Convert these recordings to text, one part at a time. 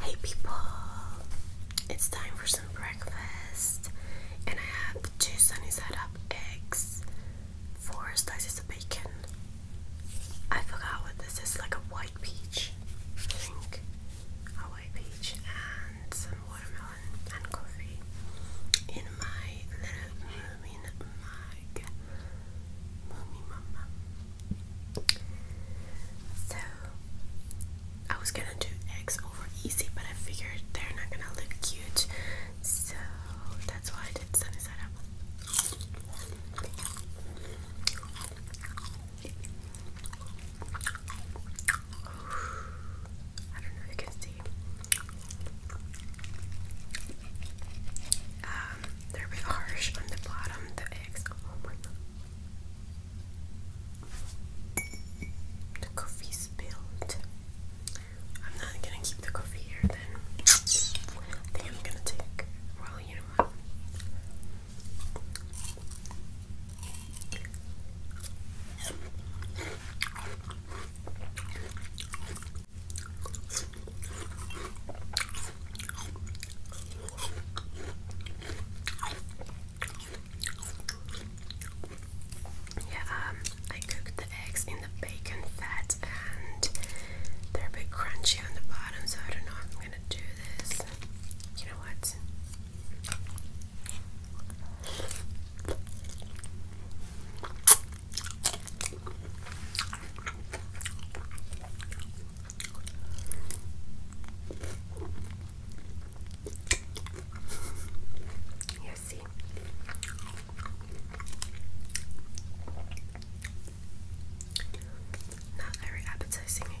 Hey people! It's time for some breakfast and I have two sunny side up eggs, four slices of bacon. I forgot what this is, like a white peach, I A white peach and some watermelon and coffee in my little moomin mug. Moomin mama. So I was gonna do eggs over easy, but I figured they're not gonna look cute, so that's why I did sunny up. I don't know if you can see. Um, they're a bit harsh on the bottom, the eggs. Oh my god. The coffee spilled. I'm not gonna keep the coffee here then. I think I'm gonna take. Well, you yeah, um, I cooked the eggs in the bacon fat and they're a bit crunchy on the bottom, so I don't know if I'm gonna do this. You know what? You see. Not very appetizing again.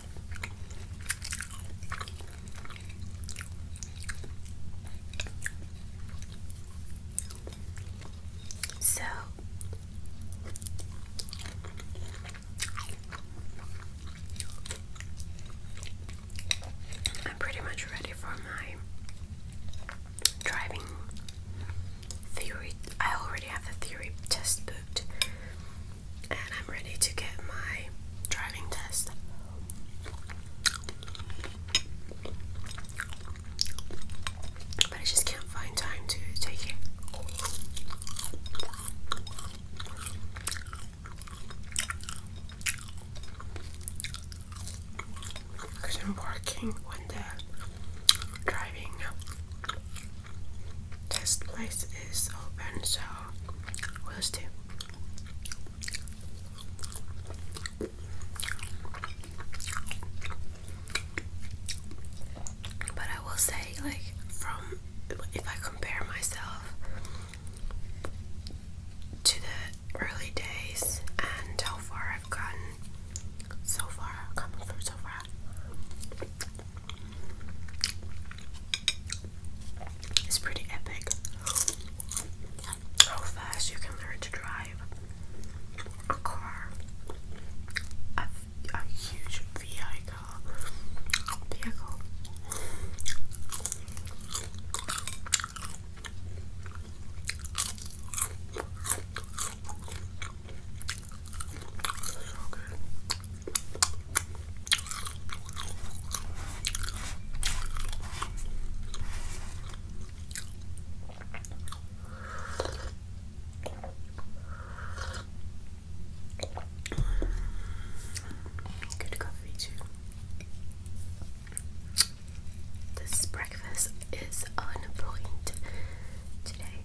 So I'm pretty much ready for my driving theory. I already have the theory test booked, and I'm ready to get my driving test. But I just can't find time to take it. Because I'm working when the driving this place is open, so we'll see. But I will say, like, from if I compare myself to the early days and how far I've gotten so far, coming from so far, it's pretty epic how fast you can learn to drive a car, a, huge vehicle. vehicle. So good. coffee too. This breakfast is on point today.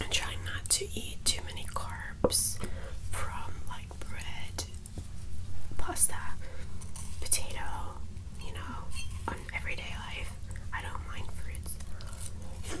I'm trying not to eat too many carbs from like bread, pasta, potato, you know, on everyday life. I don't mind fruits.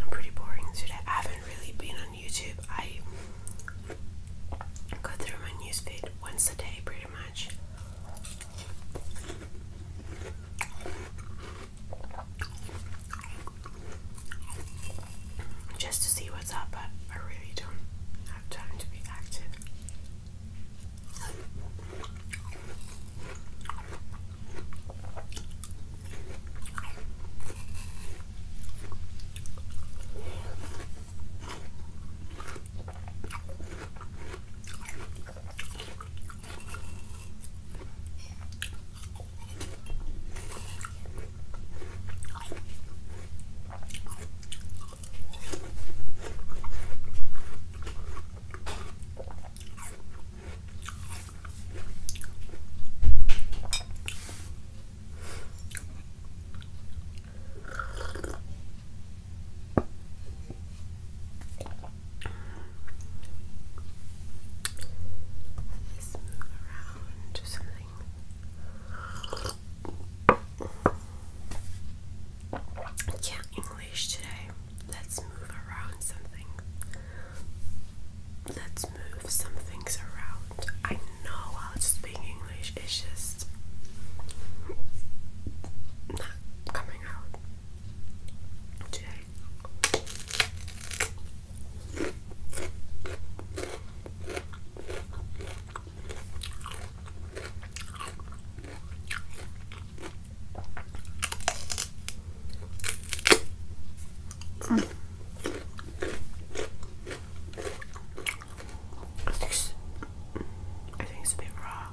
I'm pretty boring today. I haven't really been on YouTube. I go through my newsfeed once a day pretty much just to see what's up, but I really don't have time to be active. This move around to something can't English today. Let's move around some things. Let's move some things around. I know how to speak English, it's just not coming out today. Mm. I think it's, I think it's a bit raw.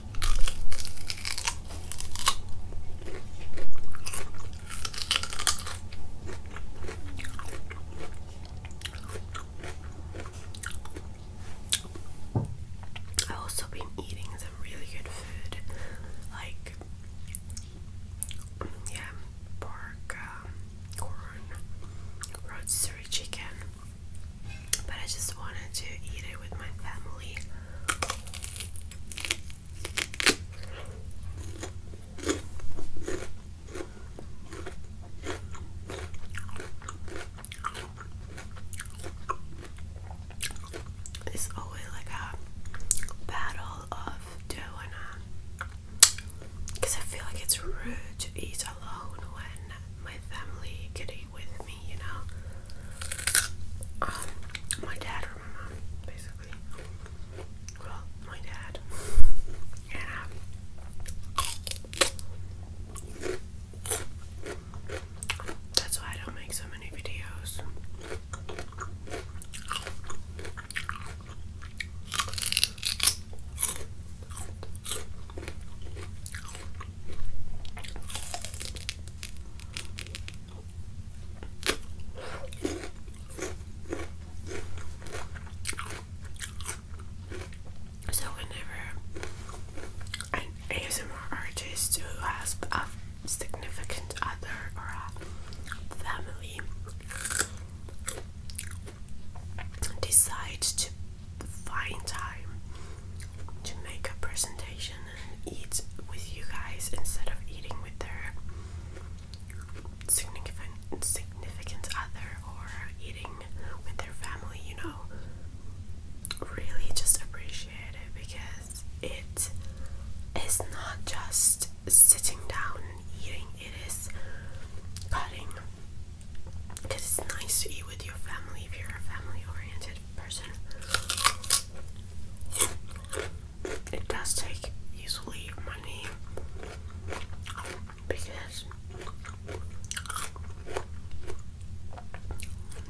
I've also been eating some really good food, like yeah, pork, um, corn, rotisserie chicken. But I just wanted to eat it with my family it's always like a battle of doing it uh, because I feel like it's rude to eat alone when my family could stay with me, you know. Um, my dad or my mom, basically. Well, my dad. And um, that's why I don't make so many videos. So whenever an ASMR artist who has a significant other or a family decides to find time to make a presentation and eat with you guys instead of eating with their significant significant other or eating with their family, you know. Really just appreciate it because it is not just sitting down and eating, it is cutting. it's nice to eat with your family if you're a family oriented person. It does take usually money because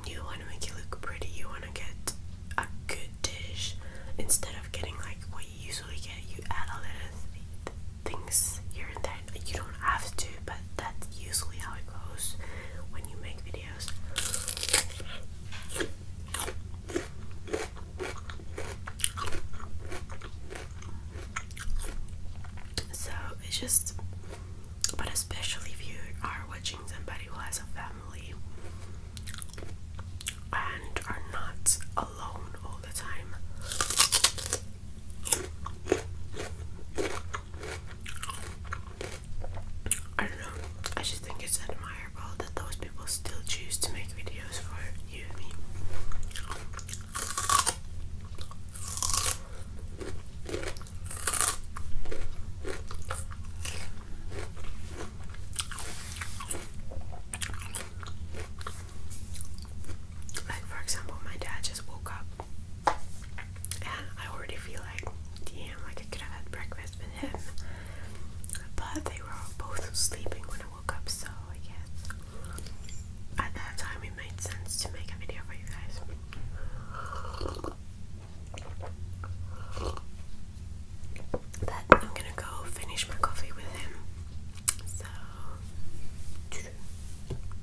you want to make it look pretty, you want to get a good dish instead of getting like what you usually get. You add a little th things here and there, you don't have to, but that's usually how it goes when you make videos. So it's just, but especially if you are watching somebody who has a family and are not alone all the time. I don't know. I just think it's admirable that those people still choose to make videos for you and me. Like, for example, my dad just woke up and I already feel like, damn, like I could have had breakfast with him. But they were both sleeping when I woke up, so I guess at that time it made sense to make a video for you guys. But I'm gonna go finish my coffee with him. So.